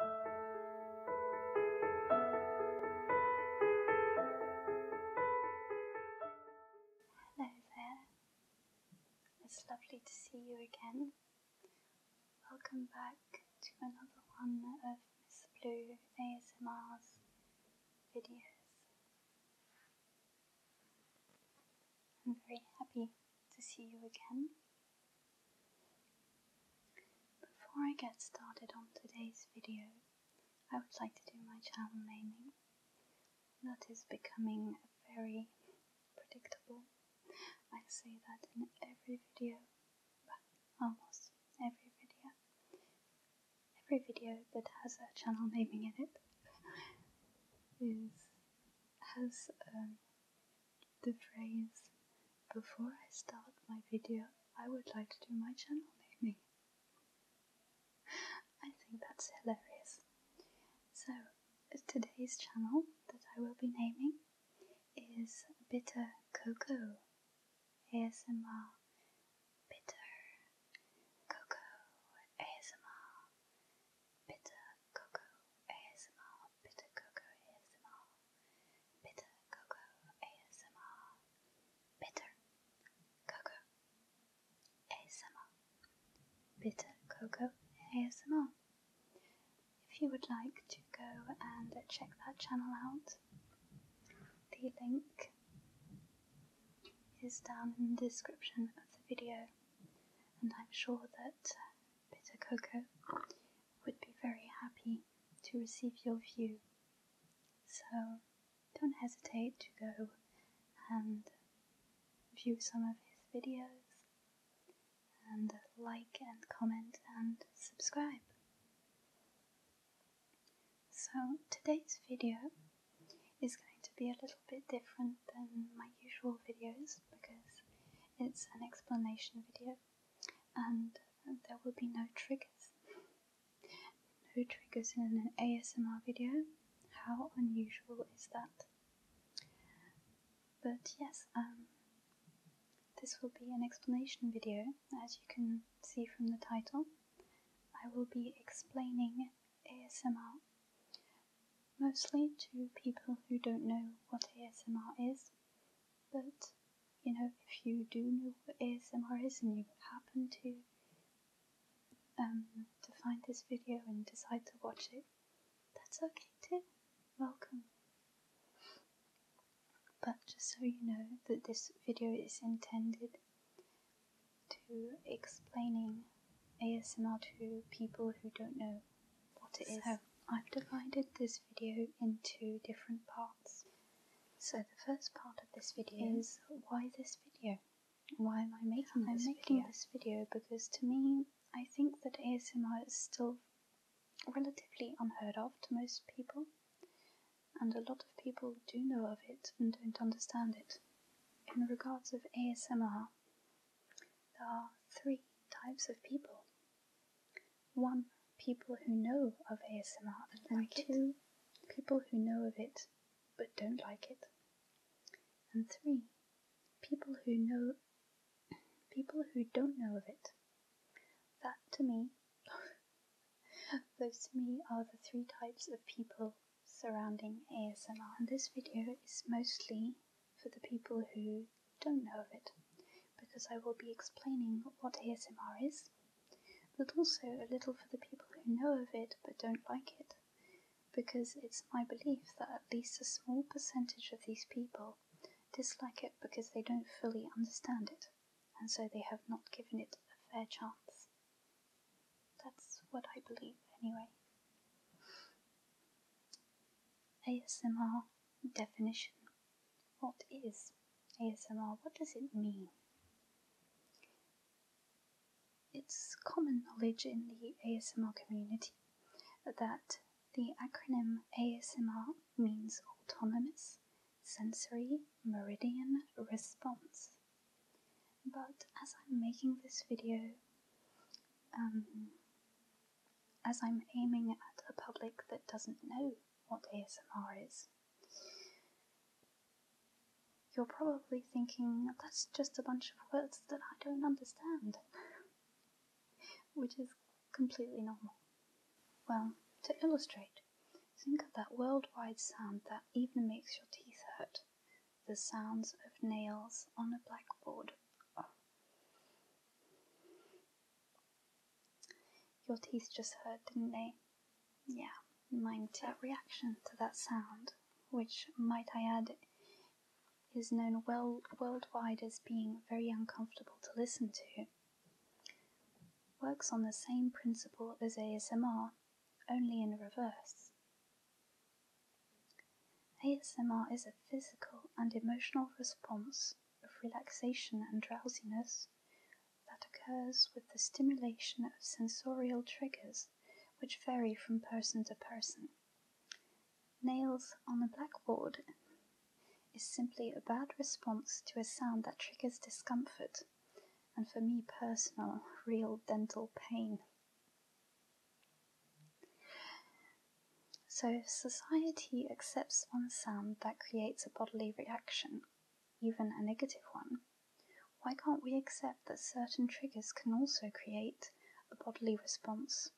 Hello there. It's lovely to see you again. Welcome back to another one of Miss Blue ASMR's videos. I'm very happy to see you again. Before I get started on today's video, I would like to do my channel naming. That is becoming very predictable. I say that in every video, almost every video. Every video that has a channel naming in it is as um, the phrase, before I start my video, I would like to do my channel naming. I think that's hilarious. So, today's channel that I will be naming is Bitter Cocoa ASMR. Bitter Cocoa ASMR. Bitter Cocoa ASMR, Bitter Cocoa ASMR, Bitter Cocoa ASMR, Bitter Cocoa ASMR, If you would like to go and check that channel out, the link is down in the description of the video and I'm sure that Bitter uh, Cocoa would be very happy to receive your view. So don't hesitate to go and view some of his videos and like and comment and subscribe. So today's video is going to be a little bit different than my usual videos because it's an explanation video and um, there will be no triggers. No triggers in an ASMR video. How unusual is that? But yes, um, this will be an explanation video, as you can see from the title. I will be explaining ASMR, mostly to people who don't know what ASMR is. But, you know, if you do know what ASMR is and you happen to um, to find this video and decide to watch it, that's okay too. Welcome. But just so you know that this video is intended to explaining ASMR to people who don't know what it is. I've divided this video into different parts. So the first part of this video is why this video? Why am I making this I'm making this video because to me I think that ASMR is still relatively unheard of to most people and a lot of people do know of it and don't understand it in regards of ASMR, there are three types of people. One, people who know of ASMR and, and like two, people who know of it but don't like it. And three, people who know people who don't know of it. That to me those to me are the three types of people surrounding ASMR. And this video is mostly for the people who don't know of it, because I will be explaining what ASMR is, but also a little for the people who know of it but don't like it, because it's my belief that at least a small percentage of these people dislike it because they don't fully understand it, and so they have not given it a fair chance. That's what I believe, anyway. ASMR definition. What is ASMR? What does it mean? It's common knowledge in the ASMR community that the acronym ASMR means autonomous sensory meridian response. But as I'm making this video, um, as I'm aiming at a public that doesn't know what ASMR is, you're probably thinking that's just a bunch of words that I don't understand, which is completely normal. Well, to illustrate Think of that worldwide sound that even makes your teeth hurt the sounds of nails on a blackboard. Your teeth just hurt, didn't they? Yeah, mine That reaction to that sound, which, might I add, is known well worldwide as being very uncomfortable to listen to, works on the same principle as ASMR only in reverse. ASMR is a physical and emotional response of relaxation and drowsiness that occurs with the stimulation of sensorial triggers which vary from person to person. Nails on a blackboard is simply a bad response to a sound that triggers discomfort and for me personal, real dental pain. So, if society accepts one sound that creates a bodily reaction, even a negative one, why can't we accept that certain triggers can also create a bodily response,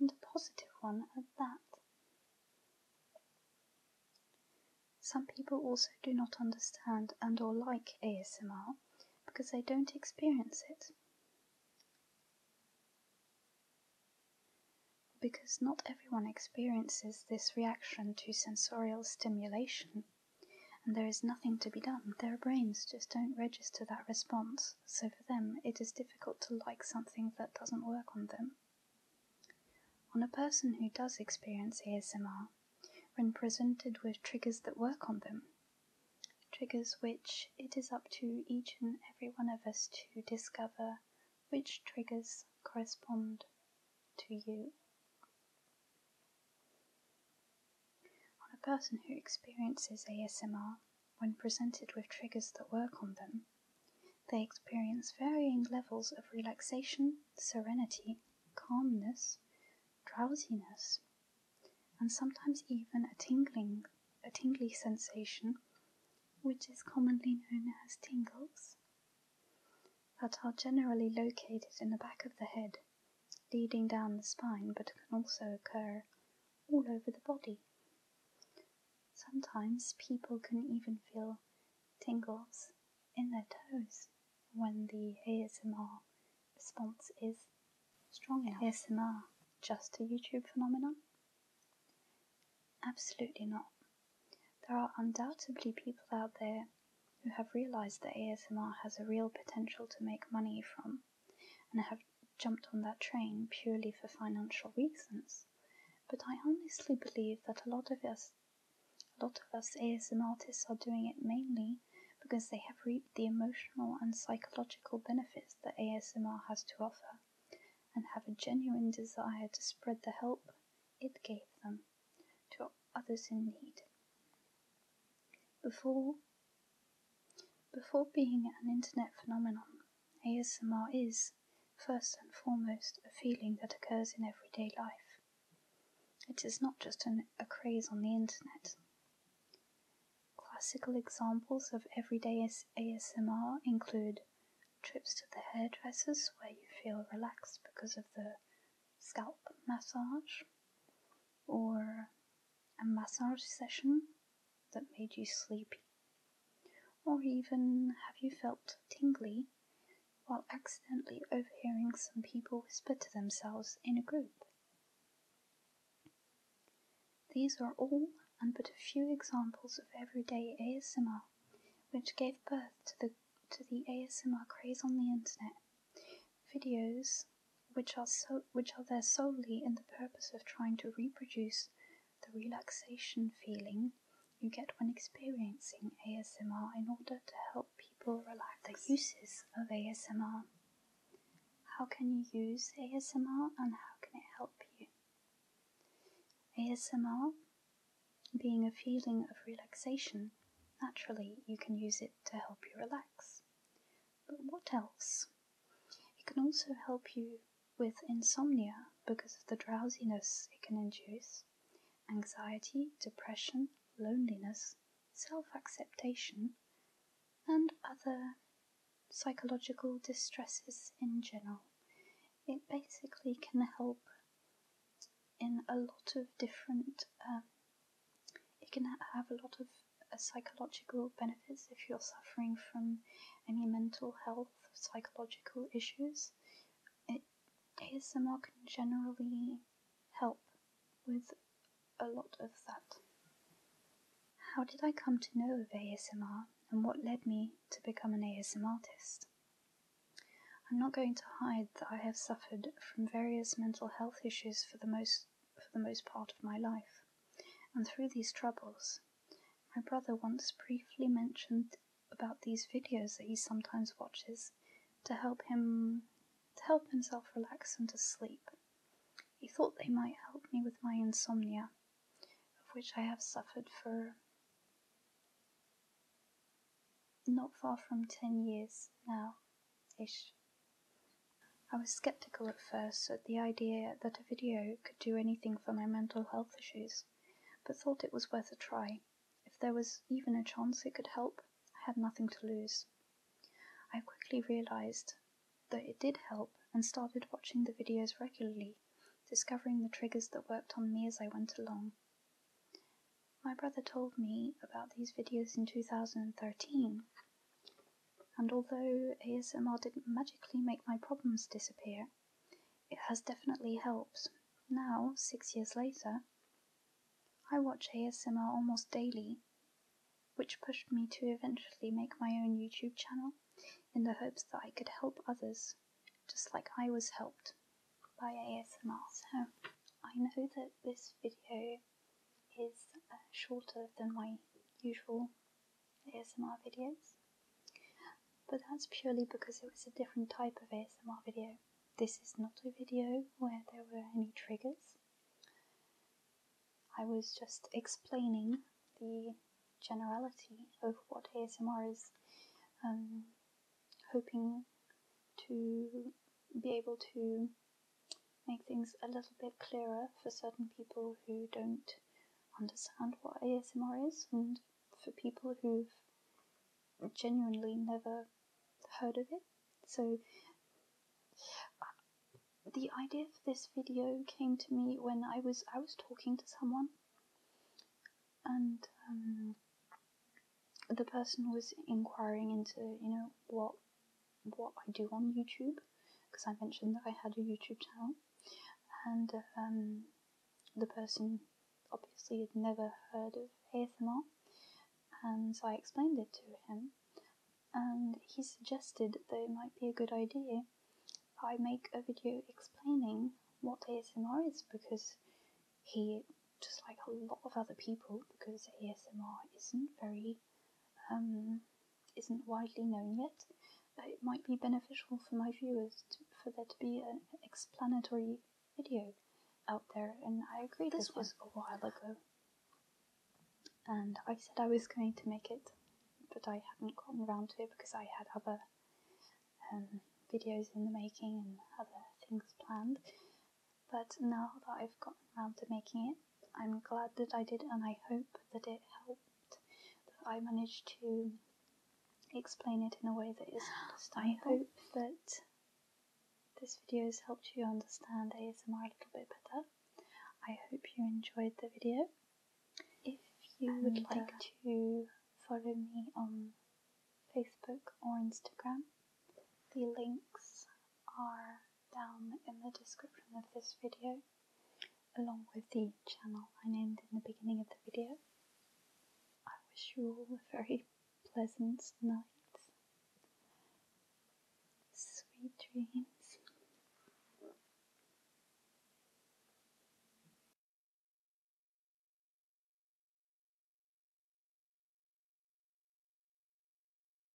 and a positive one at that? Some people also do not understand and or like ASMR because they don't experience it. Because not everyone experiences this reaction to sensorial stimulation, and there is nothing to be done. Their brains just don't register that response, so for them it is difficult to like something that doesn't work on them. On a person who does experience ASMR, when presented with triggers that work on them, triggers which it is up to each and every one of us to discover which triggers correspond to you. On a person who experiences ASMR, when presented with triggers that work on them, they experience varying levels of relaxation, serenity, calmness, drowsiness, and sometimes even a tingling, a tingly sensation, which is commonly known as tingles, that are generally located in the back of the head, leading down the spine, but can also occur all over the body. Sometimes people can even feel tingles in their toes when the ASMR response is strong enough. ASMR just a YouTube phenomenon? Absolutely not. There are undoubtedly people out there who have realized that ASMR has a real potential to make money from and have jumped on that train purely for financial reasons. But I honestly believe that a lot of us a lot of us ASMR artists are doing it mainly because they have reaped the emotional and psychological benefits that ASMR has to offer and have a genuine desire to spread the help it gave them to others in need. Before before being an internet phenomenon, ASMR is, first and foremost, a feeling that occurs in everyday life. It is not just a craze on the internet. Classical examples of everyday ASMR include trips to the hairdressers where you feel relaxed because of the scalp massage, or a massage session that made you sleepy or even have you felt tingly while accidentally overhearing some people whisper to themselves in a group? These are all and but a few examples of everyday ASMR which gave birth to the to the ASMR craze on the internet. Videos which are so which are there solely in the purpose of trying to reproduce the relaxation feeling you get when experiencing ASMR in order to help people relax. The uses of ASMR. How can you use ASMR and how can it help you? ASMR being a feeling of relaxation, naturally you can use it to help you relax. But what else? It can also help you with insomnia because of the drowsiness it can induce, anxiety, depression, loneliness, self acceptation, and other psychological distresses in general. It basically can help in a lot of different, um, it can have a lot of uh, psychological benefits if you're suffering from any mental health psychological issues, it, ASMR can generally help with a lot of that. How did I come to know of ASMR and what led me to become an ASMR artist? I'm not going to hide that I have suffered from various mental health issues for the most for the most part of my life. And through these troubles, my brother once briefly mentioned about these videos that he sometimes watches to help him to help himself relax and to sleep. He thought they might help me with my insomnia, of which I have suffered for not far from 10 years now ish. I was skeptical at first at the idea that video could do anything for my mental health issues, but thought it was worth a try. If there was even a chance it could help, I had nothing to lose. I quickly realized that it did help and started watching the videos regularly, discovering the triggers that worked on me as I went along. My brother told me about these videos in 2013, and although ASMR didn't magically make my problems disappear, it has definitely helped. Now, six years later, I watch ASMR almost daily, which pushed me to eventually make my own YouTube channel in the hopes that I could help others, just like I was helped by ASMR. So, I know that this video is uh, shorter than my usual ASMR videos. But that's purely because it was a different type of ASMR video. This is not a video where there were any triggers. I was just explaining the generality of what ASMR is, um, hoping to be able to make things a little bit clearer for certain people who don't understand what ASMR is, and for people who've genuinely never heard of it. So, the idea for this video came to me when I was I was talking to someone, and um, the person was inquiring into you know what what I do on YouTube because I mentioned that I had a YouTube channel, and um, the person obviously had never heard of ASMR, and so I explained it to him, and he suggested that it might be a good idea that I make a video explaining what ASMR is because he, just like a lot of other people, because ASMR isn't very um, isn't widely known yet, it might be beneficial for my viewers for there to be an explanatory video out there. And I agree, this, was a while ago. And I said I was going to make it, but I hadn't gotten around to it because I had other um, videos in the making and other things planned. But now that I've gotten around to making it, I'm glad that I did, and I hope that it helped. That I managed to explain it in a way that is I uh-huh. hope that this video has helped you understand ASMR a little bit better. I hope you enjoyed the video. If you would like uh, to follow me on Facebook or Instagram, the links are down in the description of this video, along with the channel I named in the beginning of the video. I wish you all a very pleasant night. Sweet dreams.